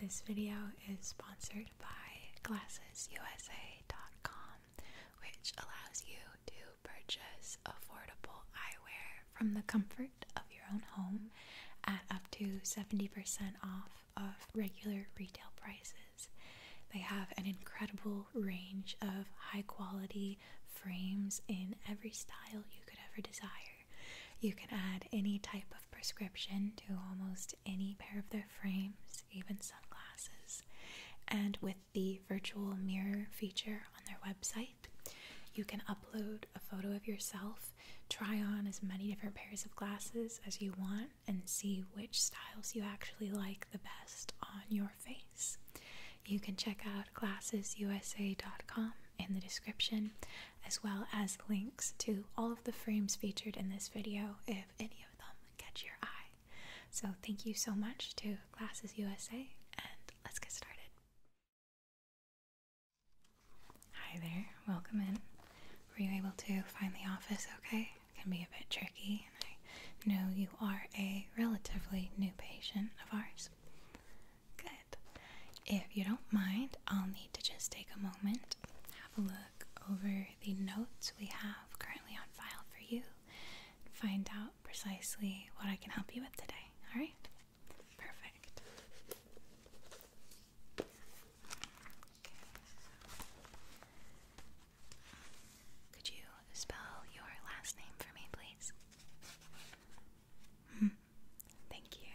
This video is sponsored by GlassesUSA.com, which allows you to purchase affordable eyewear from the comfort of your own home at up to 70% off of regular retail prices. They have an incredible range of high quality frames in every style you could ever desire. You can add any type of prescription to almost any pair of their frames, even sunglasses. And with the virtual mirror feature on their website, you can upload a photo of yourself, try on as many different pairs of glasses as you want, and see which styles you actually like the best on your face. You can check out glassesusa.com in the description as well as links to all of the frames featured in this video if any of them catch your eye. So, thank you so much to Glasses USA, and let's get started. Hi there, welcome in. Were you able to find the office okay? It can be a bit tricky, I know you are a relatively new patient of ours. Good. If you don't mind, I'll need to just take a moment, have a look over the notes we have currently on file for you, and find out precisely what I can help you with today. All right? Perfect. Could you spell your last name for me, please? Hmm. Thank you.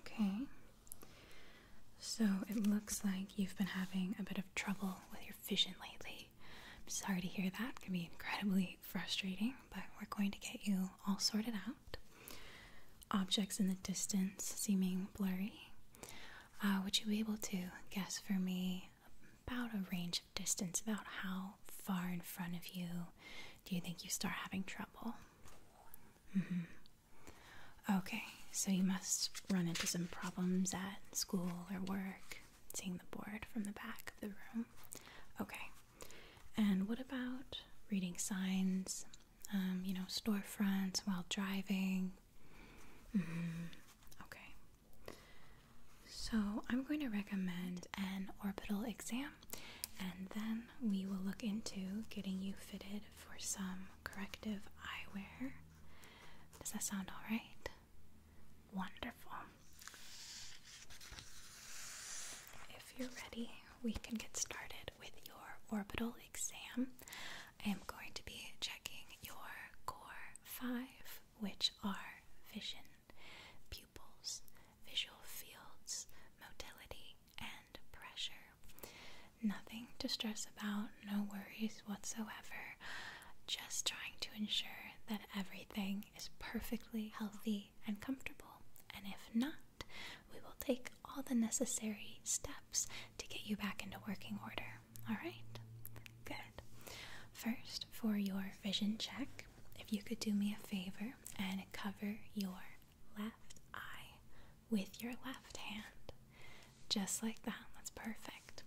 Okay. So it looks like you've been having a bit of trouble with your vision lately. I'm sorry to hear that. It can be incredibly frustrating, but we're going to get you all sorted out. Objects in the distance seeming blurry. Uh, would you be able to guess for me about a range of distance, about how far in front of you do you think you start having trouble? Mm-hmm. Okay, so you must run into some problems at school or work, seeing the board from the back of the room. Okay, and what about reading signs? Um, you know, storefronts while driving. Mm-hmm. Okay, so, I'm going to recommend an orbital exam and then we will look into getting you fitted for some corrective eyewear. Does that sound alright? Wonderful. If you're ready, we can get started with your orbital exam. I am going to be checking your core 5, which are vision, pupils, visual fields, motility, and pressure. Nothing to stress about, no worries whatsoever. Just trying to ensure that everything is perfectly healthy and comfortable. And if not, we will take all the necessary steps to get you back into working order. Alright, good. First, for your vision check, if you could do me a favor and cover your left eye with your left hand. Just like that, that's perfect.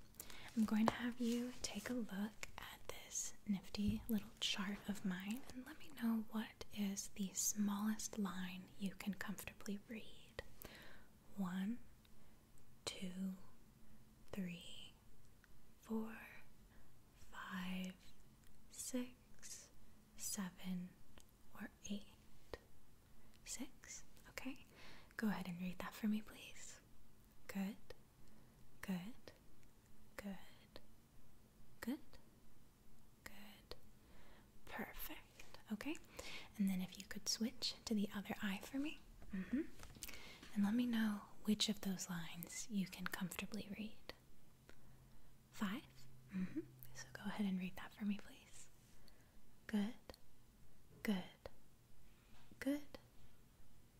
I'm going to have you take a look at this nifty little chart of mine and let me know what is the smallest line you can comfortably read. One, two, three, four, five, six, seven, or eight. Six, okay? Go ahead and read that for me, please. Good, good, good, good, good. Perfect, okay? And then if you could switch to the other eye for me. Mm-hmm. And let me know which of those lines you can comfortably read. Five? Mm-hmm. So go ahead and read that for me, please. Good, good, good,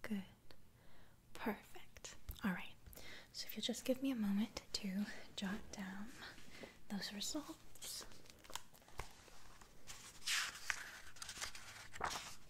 good. Perfect. All right. So if you'll just give me a moment to jot down those results.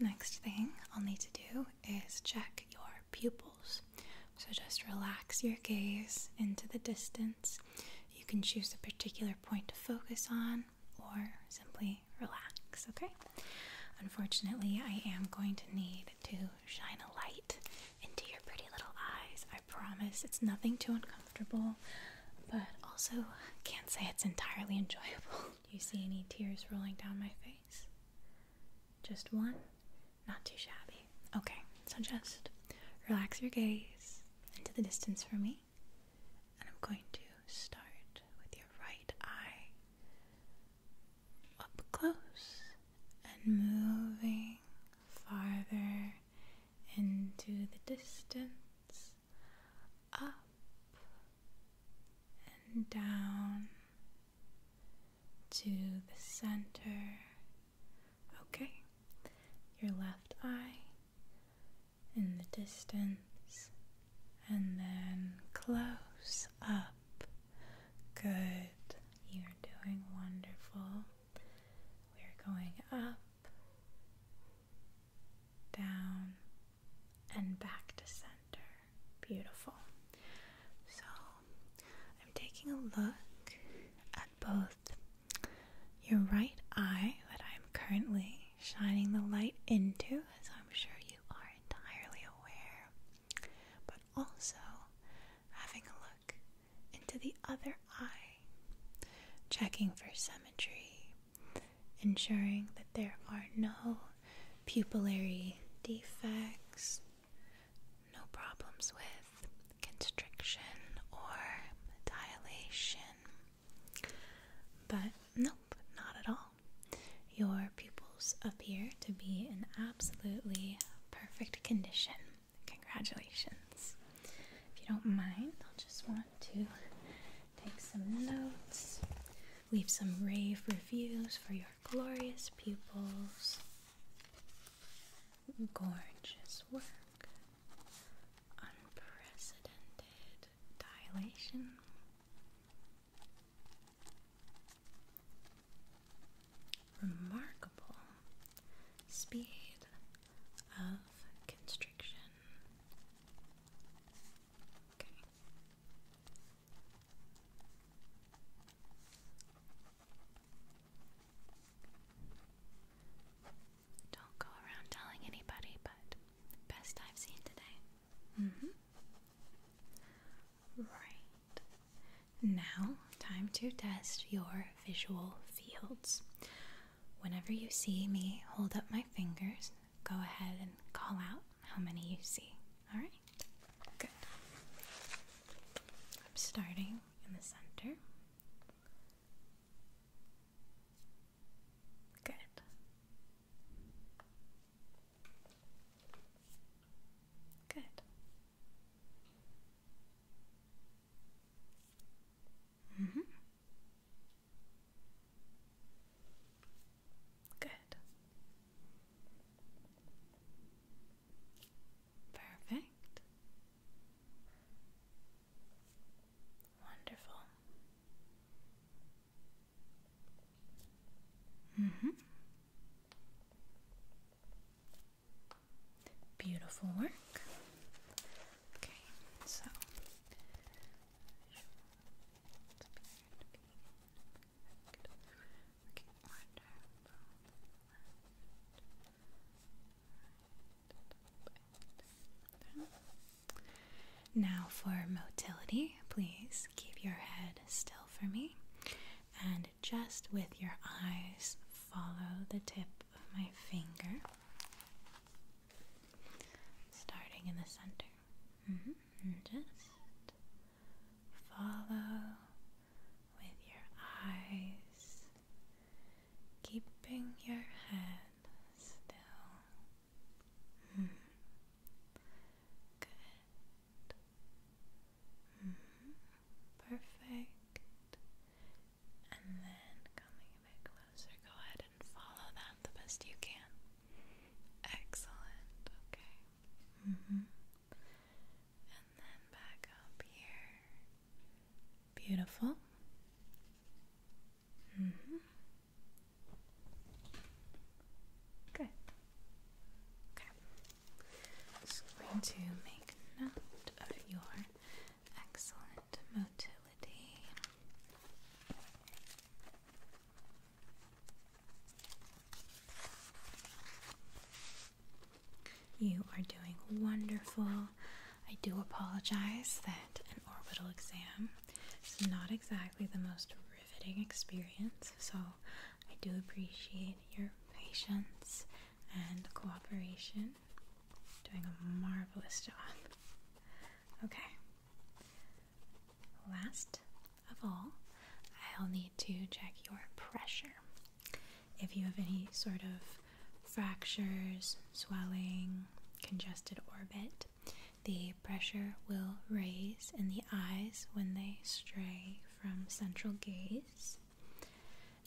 Next thing I'll need to do is check your pupils. So just relax your gaze into the distance. You can choose a particular point to focus on or simply relax, okay? Unfortunately, I am going to need to shine a light into your pretty little eyes. I promise it's nothing too uncomfortable, but also can't say it's entirely enjoyable. Do you see any tears rolling down my face? Just one? Not too shabby. Okay, so just relax your gaze into the distance for me, and I'm going to start with your right eye up close and moving farther into the distance, up and down to the center. Okay, your left eye in the distance, and then close up Good. You're doing wonderful. We're going up, down, and back to center. Beautiful. So, I'm taking a look at both your right eye that I'm currently shining the light into, as I'm sure you are entirely aware, also having a look into the other eye, checking for symmetry, ensuring that there are no pupillary defects, no problems with constriction or dilation. But nope, not at all your pupils appear to be in absolutely perfect condition. Congratulations. If you don't mind, I'll just want to take some notes, leave some rave reviews for your glorious pupils. Gorgeous work, unprecedented dilation, remarkable speed of construction. Okay. Don't go around telling anybody, but best I've seen today. Mm-hmm. Right. Now, time to test your visual fields. Whenever you see me hold up my fingers, go ahead and call out how many you see. All right? Good. I'm starting in the center. Good. Good. Mm -hmm. Good. Perfect. Wonderful. Mm -hmm. Beautiful work. Okay, so. Now for motility, please keep your head still for me and just with your eyes, follow the tip of my finger, starting in the center. Mm-hmm. just follow with your eyes, keeping your head still. Mm-hmm. Good. Mm-hmm. Perfect. And then coming a bit closer, go ahead and follow that the best you can. Excellent. Okay. Mm-hmm. And then back up here. Beautiful. -hmm. Good. Okay. Just going to make note of your excellent motility. You are doing wonderful. I do apologize that an orbital exam is not exactly the most riveting experience, so I do appreciate your patience and cooperation. Doing a marvelous job. Okay. Last of all, I'll need to check your pressure. If you have any sort of fractures, swelling, congested orbit, the pressure will raise in the eyes when they stray from central gaze.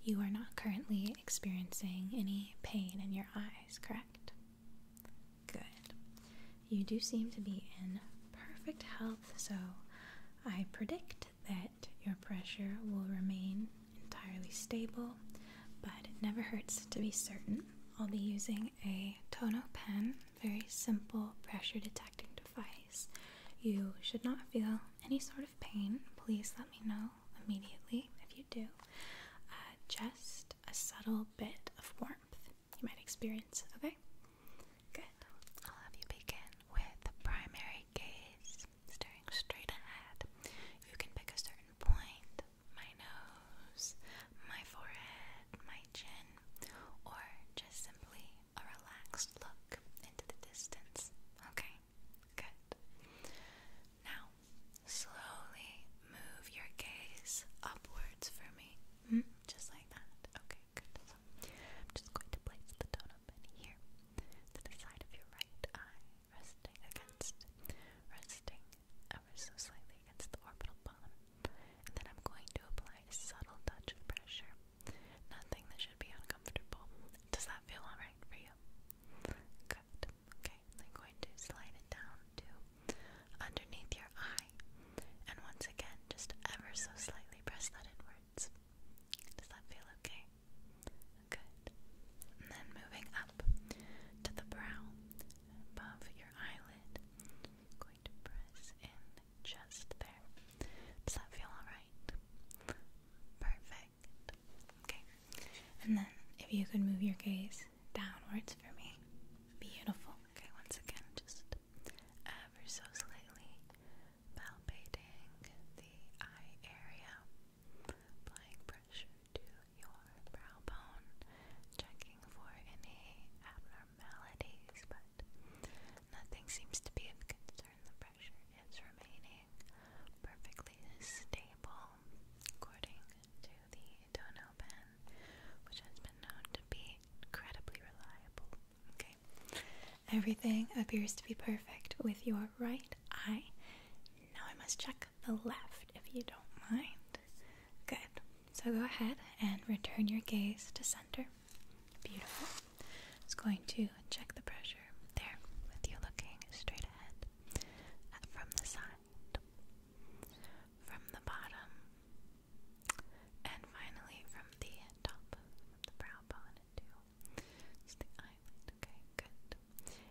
You are not currently experiencing any pain in your eyes, correct? Good. You do seem to be in perfect health, so I predict that your pressure will remain entirely stable, but it never hurts to be certain. I'll be using a Tono pen, very simple pressure detecting device. You should not feel any sort of pain. Please let me know immediately if you do. Uh, just a subtle bit of warmth you might experience, okay? Good. I'll have you begin with primary gaze, staring straight ahead. You can pick a certain point my nose, my forehead, my chin, or just simply a relaxed look into the distance. Okay, good. Now, slowly move your gaze upwards for me. Hmm, just like that. Okay, good. I'm just going to place the donut here, to the side of your right eye, resting against, resting ever so slightly against the orbital bone. And then I'm going to apply a subtle touch of pressure Nothing that should be uncomfortable. Does that feel alright for you? Good. Okay, I'm going to slide it down to underneath your eye. And once again, just ever so slightly press that inwards. Does that feel okay? Good. And then moving up to the brow above your eyelid, going to press in just there. Does that feel alright? Perfect. Okay. And then if you could move your gaze downwards for me. Beautiful. Okay, once again, just ever so slightly palpating the eye area, applying pressure to your brow bone, checking for any abnormalities nothing seems to be of concern. The pressure is remaining perfectly stable according to the tonneau pen, which has been known to be incredibly reliable. Okay. Everything appears to be perfect with your right eye. Now I must check the left if you don't mind. Good. So go ahead and return your gaze to center. Beautiful. It's going to check the pressure there with you looking straight ahead uh, from the side, from the bottom, and finally from the top, from the brow bone into the eyelid. Okay, good.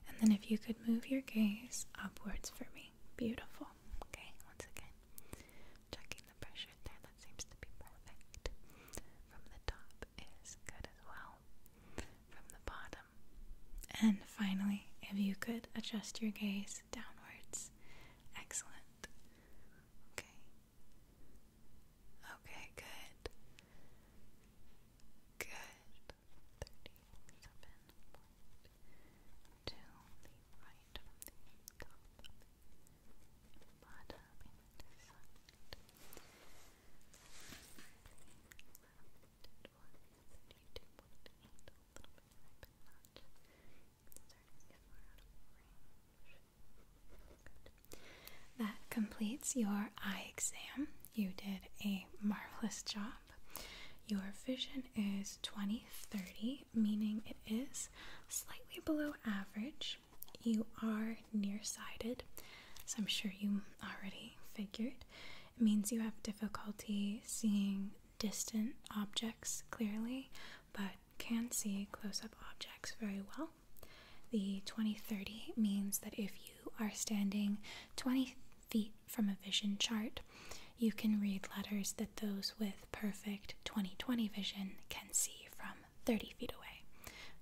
And then if you could move your gaze upwards for me. Beautiful. Okay, once again, checking the pressure there seems to be perfect. From the top is good as well. From the bottom. And finally, if you could adjust your gaze downwards. Excellent. Okay. Okay, good. Good. That completes your eye exam. You did a marvelous job. Your vision is 2030, meaning it is slightly below average. You are nearsighted, so I'm sure you already figured. It means you have difficulty seeing distant objects clearly, but can see close up objects very well. The 2030 means that if you are standing 20 feet from a vision chart, you can read letters that those with perfect 2020 vision can see from 30 feet away.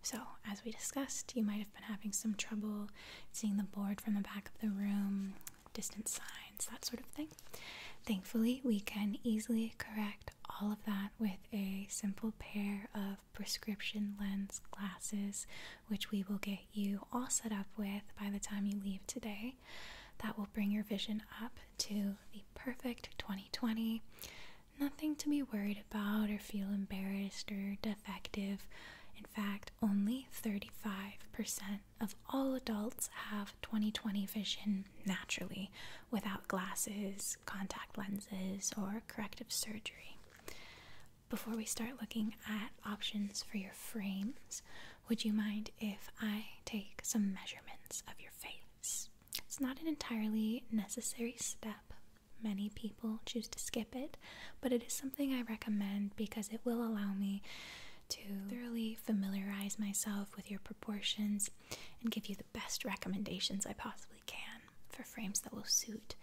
So, as we discussed, you might have been having some trouble seeing the board from the back of the room, distant signs, that sort of thing. Thankfully, we can easily correct all of that with a simple pair of prescription lens glasses, which we will get you all set up with by the time you leave today. That will bring your vision up to the perfect 2020. Nothing to be worried about or feel embarrassed or defective. In fact, only 35% of all adults have 20 20 vision naturally without glasses, contact lenses, or corrective surgery. Before we start looking at options for your frames, would you mind if I take some measurements of your face? It's not an entirely necessary step, Many people choose to skip it, but it is something I recommend because it will allow me to thoroughly familiarize myself with your proportions and give you the best recommendations I possibly can for frames that will suit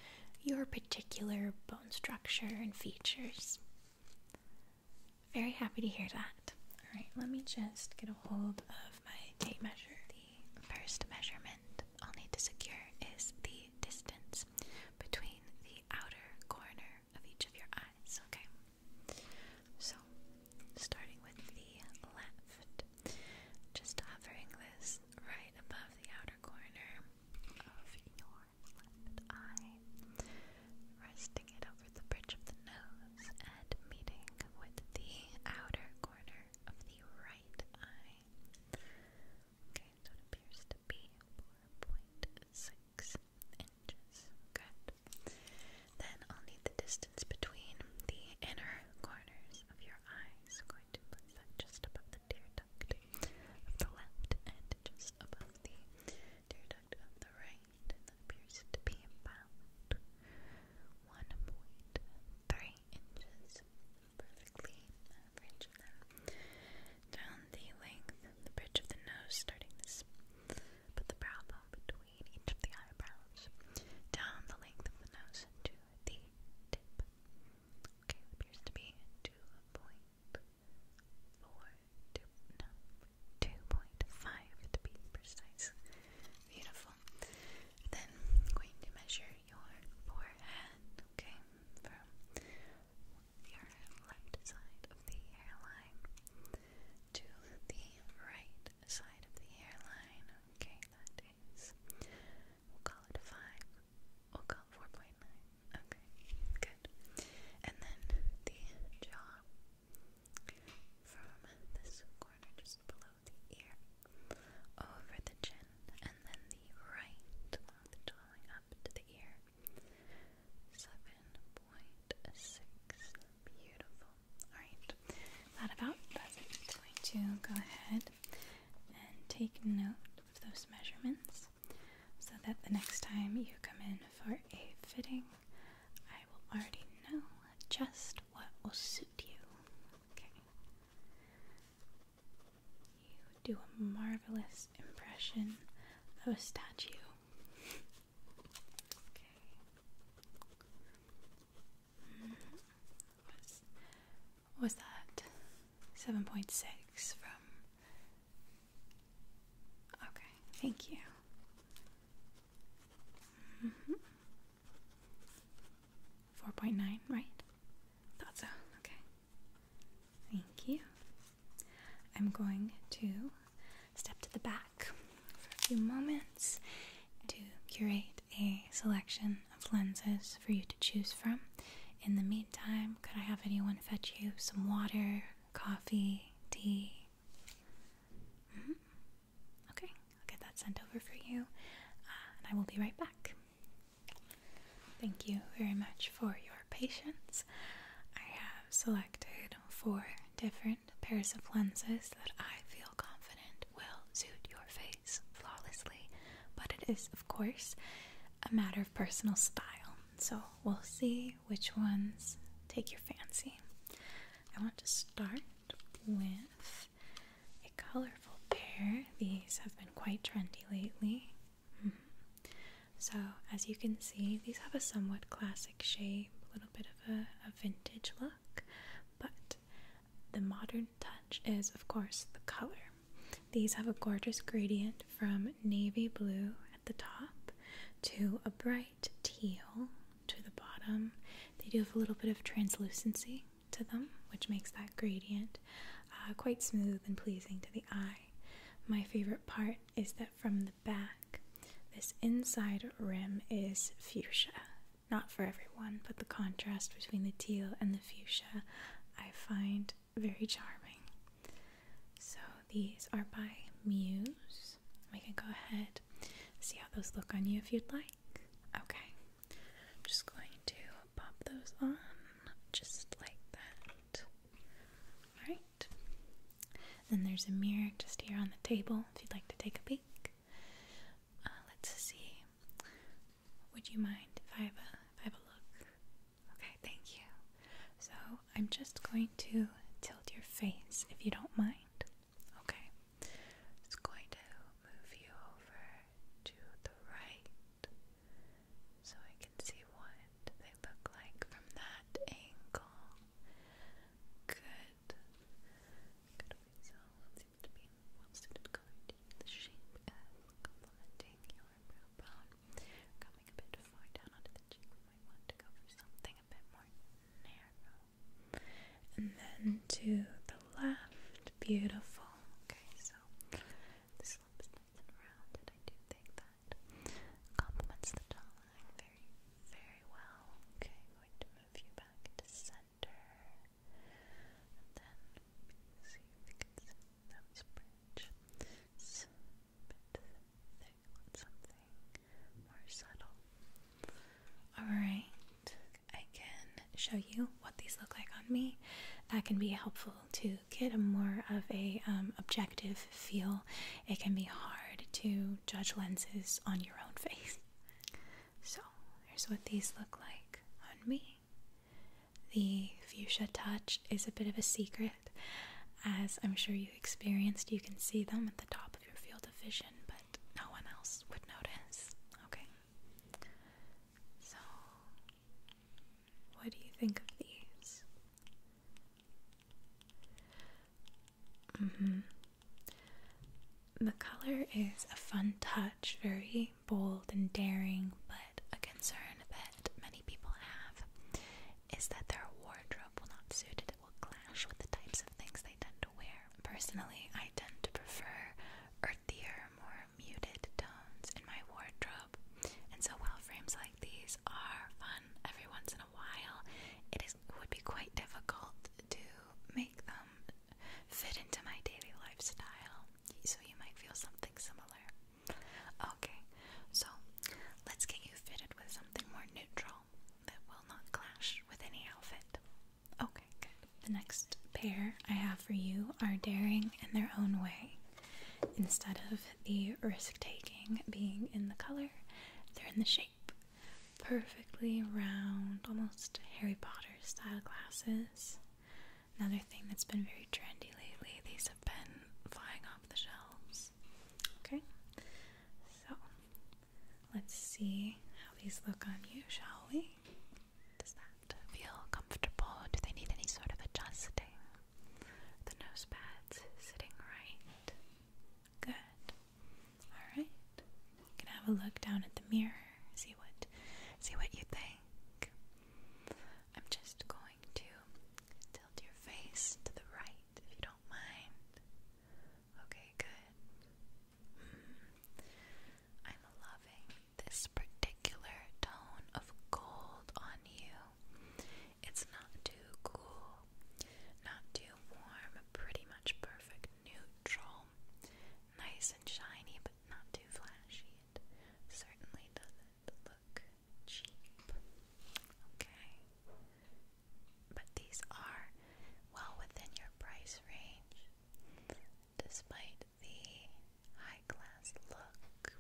your particular bone structure and features. Very happy to hear that. All right, let me just get a hold of my tape measure first measurement I'll need to secure is the distance between the outer corner of each of your eyes, okay? So, starting with the left, just hovering this right above the outer corner of your left eye, resting it over the bridge of the nose and meeting with the outer corner of the right right eye. Okay, so it appears to be 4.6 inches. Good. Then I'll need the distance between the inner corners of your eyes. going to place just above the tear duct of the left and just above the tear duct of the right. And that appears to be about 1.3 inches, perfectly average. down the length, the bridge of the nose, starting this, put the brow bone between each of the eyebrows, down the length of the nose to the tip. Okay, appears to be 2.4, to be precise. Beautiful. Then going to measure your forehead, okay? From your left side of the hairline to the right side of the hairline, okay? That is, we'll call it 5, we'll call 4.9, okay? Good. And then the jaw from this corner just below the ear, over the chin, and then the right along the jawline up to the ear. 7.6. Beautiful. Alright, that about does it. I'm going to go ahead and take note of those measurements so that the next time you come in for a fitting, I will already know just what will suit you. Okay. You do a marvelous impression of a statue. okay. What's, was that? 7.6 from. Okay, thank you. Mm-hmm. 4.9, right? Thought so. Okay. Thank you. I'm going to step to the back for a few moments to curate a selection of lenses for you to choose from. In the meantime, could I have anyone fetch you some water, coffee, tea? Mm-hmm. Okay, I'll get that sent over for you, uh, and I will be right back. Thank you very much for your patience. I have selected four different pairs of lenses that I feel confident will suit your face flawlessly, but it is, of course, a matter of personal style. So we'll see which ones take your fancy. I want to start with a colorful pair. These have been quite trendy lately. Mm-hmm. So, as you can see, these have a somewhat classic shape, a little bit of a vintage look, but the modern touch is, of course, the color. These have a gorgeous gradient from navy blue at the top to a bright teal to the bottom. They do have a little bit of translucency to them, which makes that gradient uh, quite smooth and pleasing to the eye. My favorite part is that from the back, this inside rim is fuchsia. Not for everyone, but the contrast between the teal and the fuchsia I find very charming. So these are by Muse. We can go ahead see how those look on you if you'd like. Okay. I'm just going to pop those on just like that. Alright. Then there's a mirror just here on the table if you'd like to take a peek. Uh, let's see. Would you mind if I have a, look? Okay, thank you. So I'm just going to tilt your face if you don't mind. Okay. It's going to move you over to the right so I can see what they look like from that angle. Good. Good. Okay, so let be well-suited color The shape is complementing your brow bone. Coming a bit far down onto the cheek, we want to go for something a bit more narrow. And then to the left, beautiful. Okay, so so the slope nice and rounded. I do think that complements the jawline very, very well. Okay, I'm going to move you back to center. And then see if you can see those bridge. So, bit thick with something more subtle. Alright, I can show you what these look like on me. That can be helpful to get a more of a um, objective feel. It can be hard to judge lenses on your own face. So here's what these look like on me. The fuchsia touch is a bit of a secret. As I'm sure you experienced, you can see them at the top of your field of vision, but no one else would notice. Okay. So, what do you think of these? Mm-hmm. The color is a fun touch, very bold and daring, but a concern that many people have is that their wardrobe will not suit it. It will clash with the types of things they tend to wear. Personally, I tend to prefer earthier, more muted tones in my wardrobe. And so while frames like these are fun every once in a while, it is would be quite difficult to make them fit into my daily lifestyle. So you might feel something similar. Okay, so let's get you fitted with something more neutral that will not clash with any outfit. Okay, good. The next pair I have for you are daring in their own way. Instead of the risk taking being in the color, they're in the shape. Perfectly round, almost Harry Potter style glasses. Another thing that's been very trendy lately, these have been flying off the shelves. Okay, so let's see how these look on you, shall we? Does that feel comfortable? Do they need any sort of adjusting? The nose pads sitting right. Good. Alright. You can have a look down at the mirror, see what see what you think. I'm just going to tilt your face to the right if you don't mind. Okay, good. Hmm. I'm loving this particular tone of gold on you. It's not too cool, not too warm, pretty much perfect neutral. Nice and shiny, but not too flashy. certainly doesn't look cheap. Okay. But these are well within your price range despite the high class look.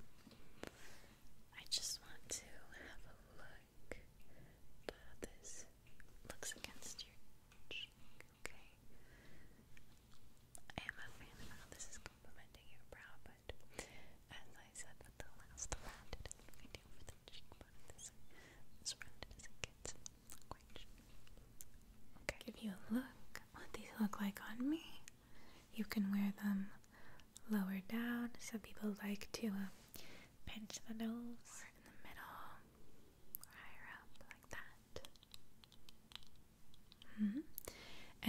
I just want to have a look at this looks against your cheek, okay? I am a fan of how this is complimenting your brow, but as I said with the last round, it isn't ideal for the cheekbone. This, this doesn't get quite I'll Give you a look what these look like on me. You can wear them lower down. Some people like to uh, pinch the nose or in the middle or higher up like that. Mm-hmm.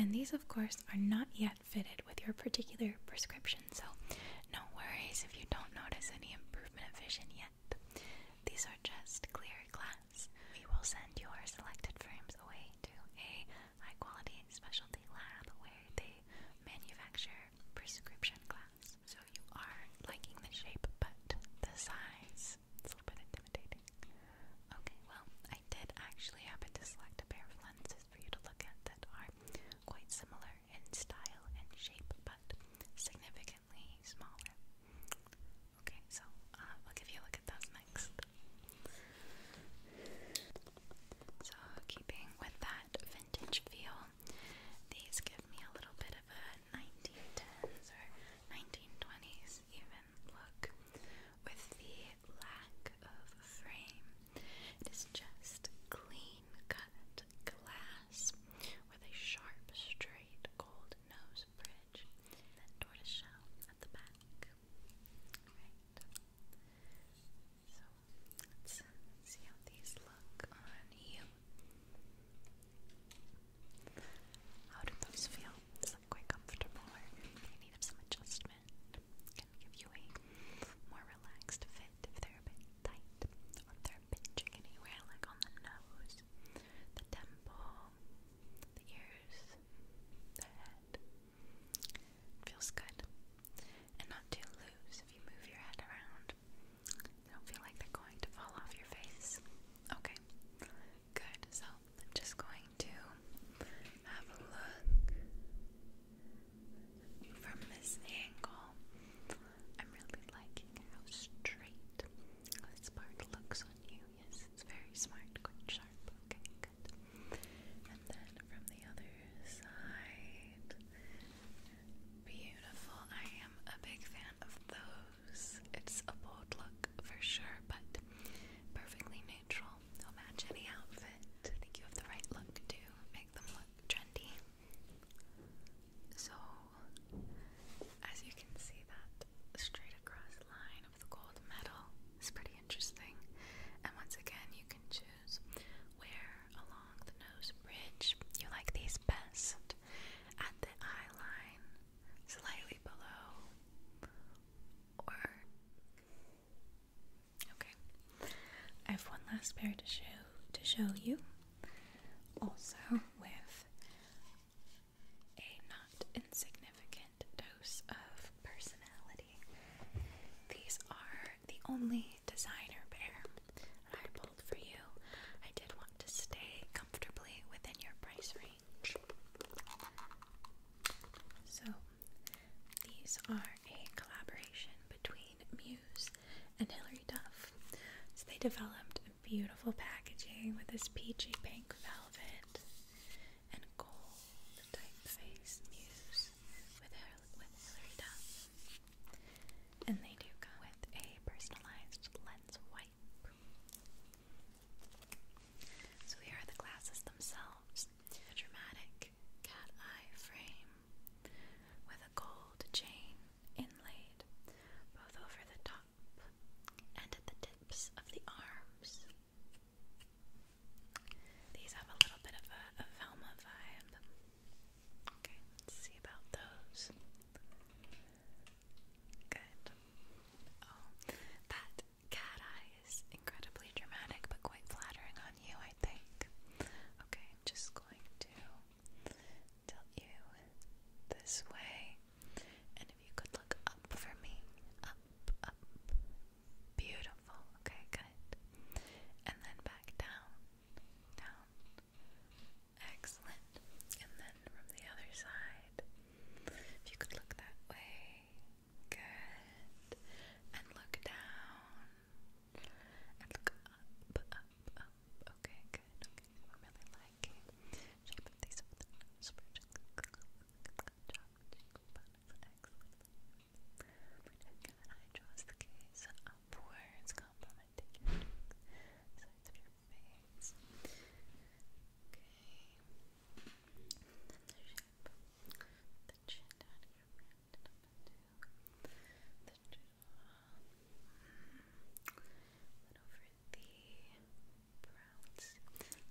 And these, of course, are not yet fitted with your particular prescription, so no worries if you don't notice any improvement of vision yet. These are just clear glass. We will send your selected frames away to a high quality specialty lab where they manufacture prescription glass. So you are liking the shape, but the size it's a little bit intimidating. Okay, well, I did actually happen to select a pair of lenses for you to look at that are quite similar in style and shape, but significantly smaller. Okay, so i uh, will give you a look at those next. So, keeping with that vintage feel, these give me a little bit of a 1910s or 1920s even look with the lack of frame. It is just clean cut glass with a sharp, straight gold nose bridge, then shell at the back. Right. So let's see how these look on you. How do those feel? Is that quite comfortable or do you need some adjustment? Can give you a more relaxed fit if they're a bit tight or they're pinching anywhere like on the nose, the temple, the ears, the head. It feels good. And not too loose if you move your head around. They don't feel like they're going to fall off your face. Okay. Good. So I'm just going to have a look from this angle. I'm really liking how straight this part looks on you. Yes, it's very smart, quite sharp. Okay, good. And then from the other side. Beautiful. I am a big fan of those. It's a bold look for sure, but perfectly neutral. They'll match any outfit. I think you have the right look to make them look trendy. So, as you can see, that straight across line the gold medal is pretty interesting. And once again, you can choose where along the nose bridge you like these best. At the eye line, slightly below, or. Okay. I have one last pair to show to show you. Also with a not insignificant dose of personality. These are the only designer pair I pulled for you. I did want to stay comfortably within your price range. So, these are a collaboration between Muse and Hilary Duff. So, they developed beautiful packaging with this peachy pink velvet and gold typeface muse with, with Hilary Duff. And they do come with a personalized lens wipe. So here are the glasses themselves. dramatic cat eye frame with a gold chain inlaid both over the top and at the tips of the arms. These have a little bit of a, Velma vibe. Okay, let's see about those. Good. Oh, that cat eye is incredibly dramatic but quite flattering on you, I think. Okay, I'm just going to tilt you this way. And if you could look up for me, up, up, beautiful. Okay, good. And then back down, down. Excellent. And then from the other side, if you could look that way, good. And look down. And look up, up, up. Okay, good. I'm really liking shape of these chocolate cheek buns, the gaze upwards, complementing your sides of your face. Okay. then the shape, the chin down here, rounded Then over the browns.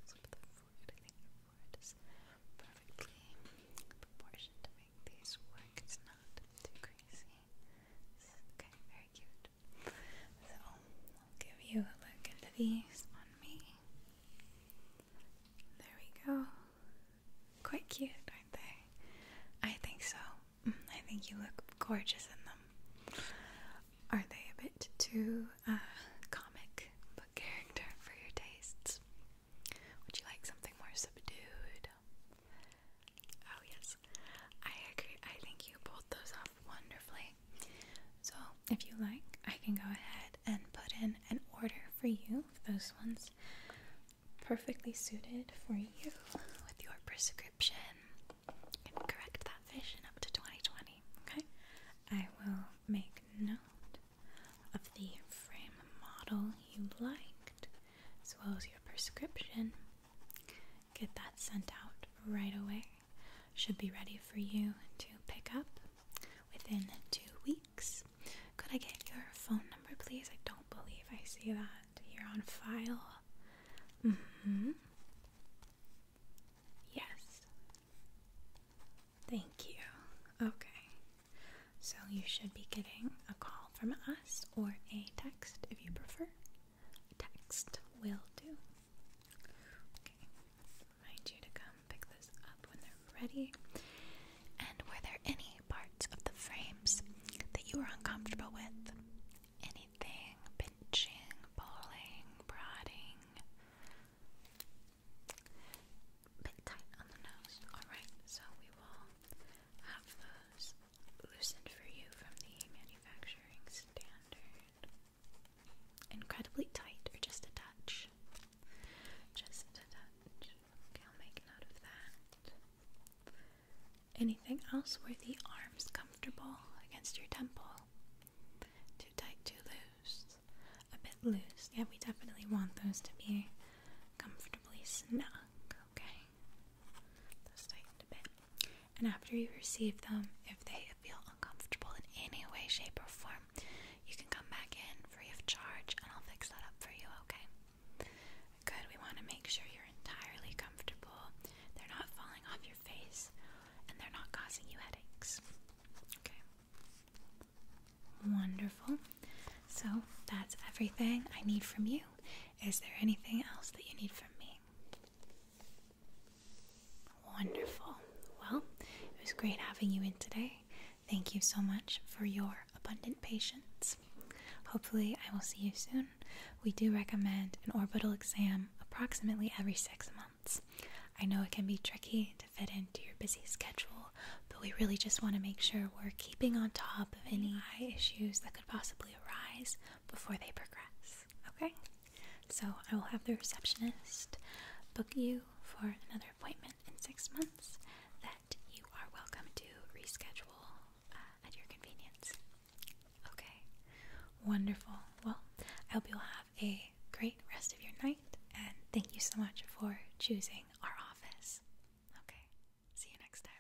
So for the forehead, I think your forehead is perfectly proportioned to make work. It's not too crazy. okay, very cute. So I'll give you a look into these on me. There we go. Quite cute, aren't they? I think so. Mm, I think you look gorgeous in them. Are they a bit too uh, comic book character for your tastes. Would you like something more subdued? Oh, yes, I agree. I think you pulled those off wonderfully. So, if you like, I can go ahead and put in an order for you. Those ones perfectly suited for you with your prescription. correct that vision up to 2020, okay? I will make note of the frame model you liked, as well as your prescription. Get that sent out right away. Should be ready for you to pick up within two weeks. Could I get your phone number, please? I don't believe I see that here on file. hmm. Yes, Thank you. Okay. So you should be getting a call from us or a text if you prefer. Text will do. Okay. Remind you to come pick this up when they're ready. And were there any parts of the frames that you were uncomfortable with? Anything pinching, pulling, prodding? bit tight on the nose. Alright, so we will have those loosened for you from the manufacturing standard. Incredibly tight or just a touch? Just a touch. Okay, I'll make note of that. Anything else? Were the arms comfortable against your temple? Too tight, too loose. A bit loose. Yeah, we definitely want those to be comfortably snug, okay? Those tightened a bit. And after you receive them, if they feel uncomfortable in any way, shape, or form, you can come back in free of charge and I'll fix that up for you, okay? Good, we want to make sure you're entirely comfortable. They're not falling off your face and they're not causing you headaches. Okay. Wonderful. So that's everything I need from you. Is there anything else that you need from me? Wonderful. Well, it was great having you in today. Thank you so much for your abundant patience. Hopefully, I will see you soon. We do recommend an orbital exam approximately every six months. I know it can be tricky to fit into your busy schedule, but we really just want to make sure we're keeping on top of any eye issues that could possibly arise before they progress. Okay? So I will have the receptionist book you for another appointment in six months that you are welcome to reschedule uh, at your convenience. Okay, wonderful. Well, I hope you'll have a great rest of your night, and thank you so much for choosing our office. Okay, see you next time.